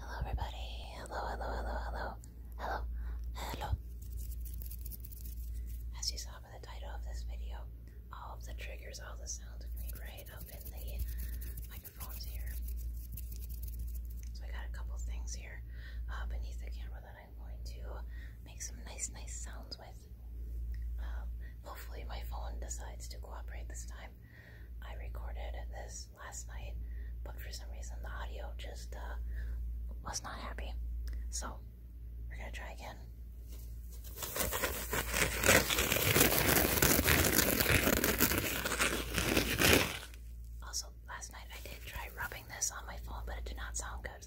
Hello, everybody. Hello, hello, hello, hello, hello, hello. As you saw by the title of this video, all of the triggers, all the sounds are going right up in the microphones here. So I got a couple things here uh, beneath the camera that I'm going to make some nice, nice sounds with. Um, hopefully, my phone decides to cooperate this time. I recorded this last night, but for some reason, the audio just uh, was not happy. So, we're gonna try again. Also, last night I did try rubbing this on my phone, but it did not sound good,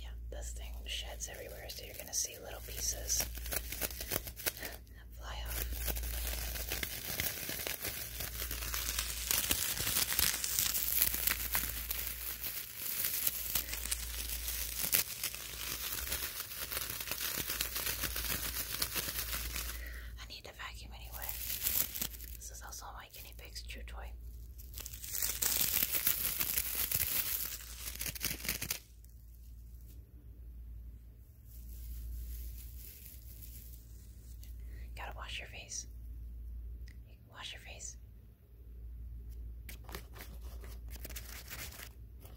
Yeah, this thing sheds everywhere, so you're going to see little pieces fly off. I need a vacuum anyway. This is also my guinea pig's chew toy. gotta wash your face. wash your face.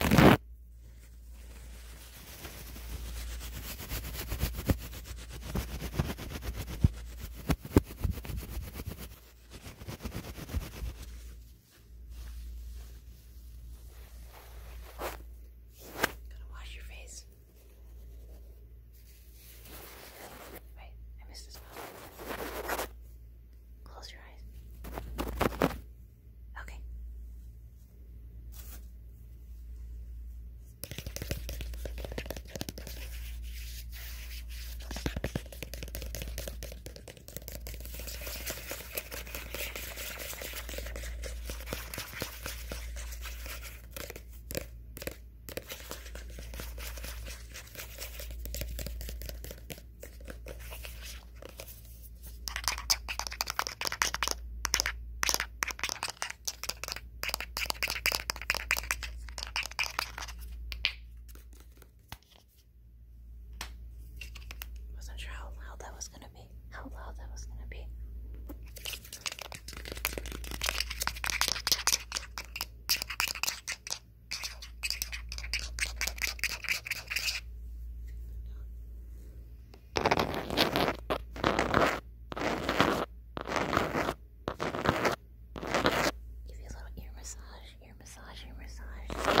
Gotta wash your face. Wait, I missed this spot. Close your eyes. Okay. Wasn't sure how loud that was gonna be. How loud that was gonna be. Give you a little ear massage, ear massage, ear massage.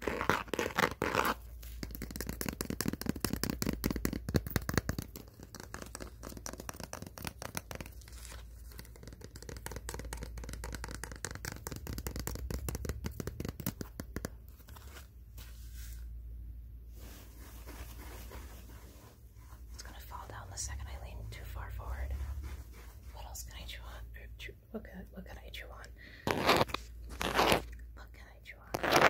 It's going to fall down the second I lean too far forward. What else can I chew on? What can what could I chew on? What could I drew on?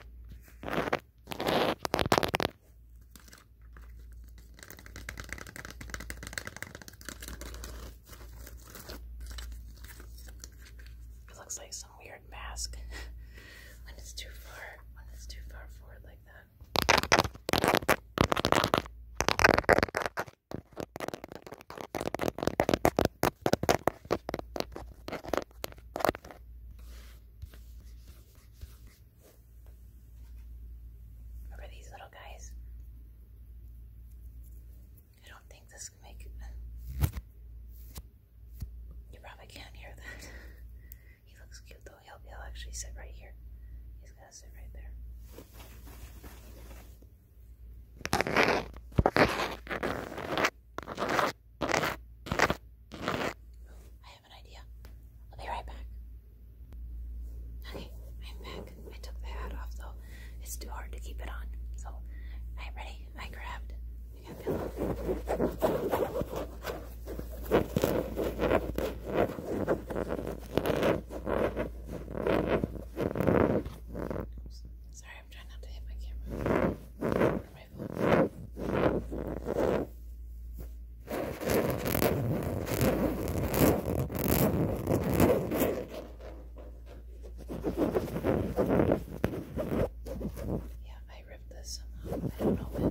looks like some weird mask when it's too far, when it's too far forward like that. Remember these little guys? I don't think this can make You probably can't hear that. he looks cute though. He'll, he'll actually sit right here. He's gonna sit right there. I have an idea. I'll be right back. Okay, I'm back. I took the hat off though. It's too hard to keep it on. So I'm ready. I grabbed. I got pillow. Oops. Sorry, I'm trying not to hit my camera or my phone. Yeah, I ripped this somehow. I don't know when.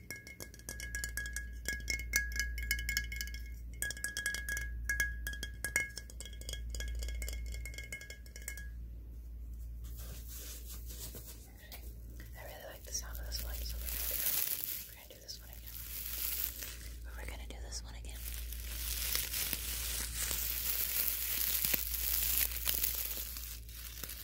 I really like the sound of this one, so we're gonna do, we're gonna do this one again. But we're gonna do this one again.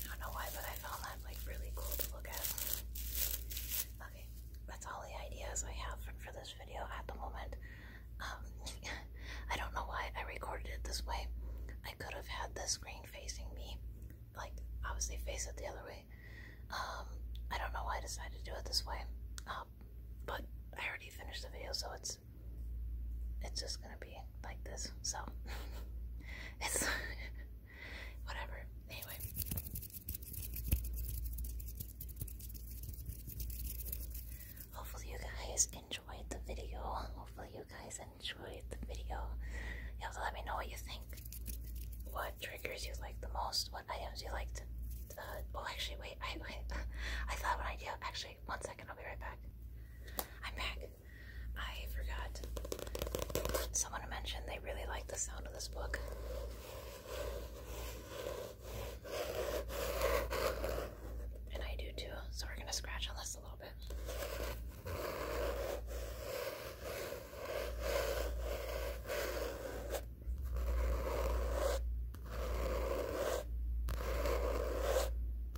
I don't know why, but I found that like really cool to look at. Okay, that's all the ideas I have for, for this video at the moment. Um, I don't know why I recorded it this way. I could have had the screen facing me, like obviously face it the other way. Um, I don't know why I decided to do it this way, um, but I already finished the video, so it's it's just gonna be like this. So it's Whatever. Anyway. Hopefully you guys enjoyed the video. Hopefully you guys enjoyed the video. You have to let me know what you think. What triggers you like the most. What items you liked. Uh, oh, actually, wait. I, I, I thought of idea. Actually, one second. I'll be right back. I'm back. I forgot. Someone mentioned they really like the sound of this book. And I do too, so we're gonna scratch on this a little bit.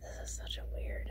This is such a weird.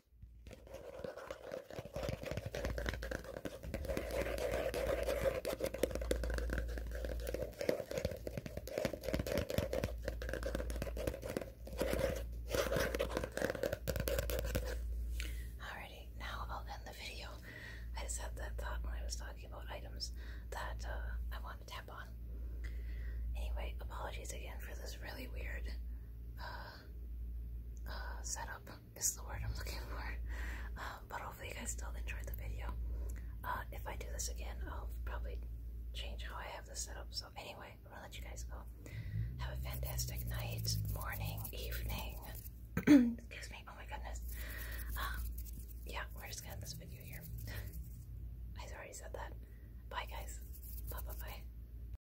Alrighty, now I'll end the video. I just had that thought when I was talking about items that uh, I want to tap on. Anyway, apologies again for this really weird uh, uh, setup is the word I'm looking for. Um, but hopefully you guys still enjoyed the video. Uh, if I do this again, I'll probably change how I have this set up. So anyway, I'm gonna let you guys go. Have a fantastic night, morning, evening. Excuse me. Oh my goodness. Um, yeah, we're just gonna end this video here. I already said that. Bye guys. Bye bye bye.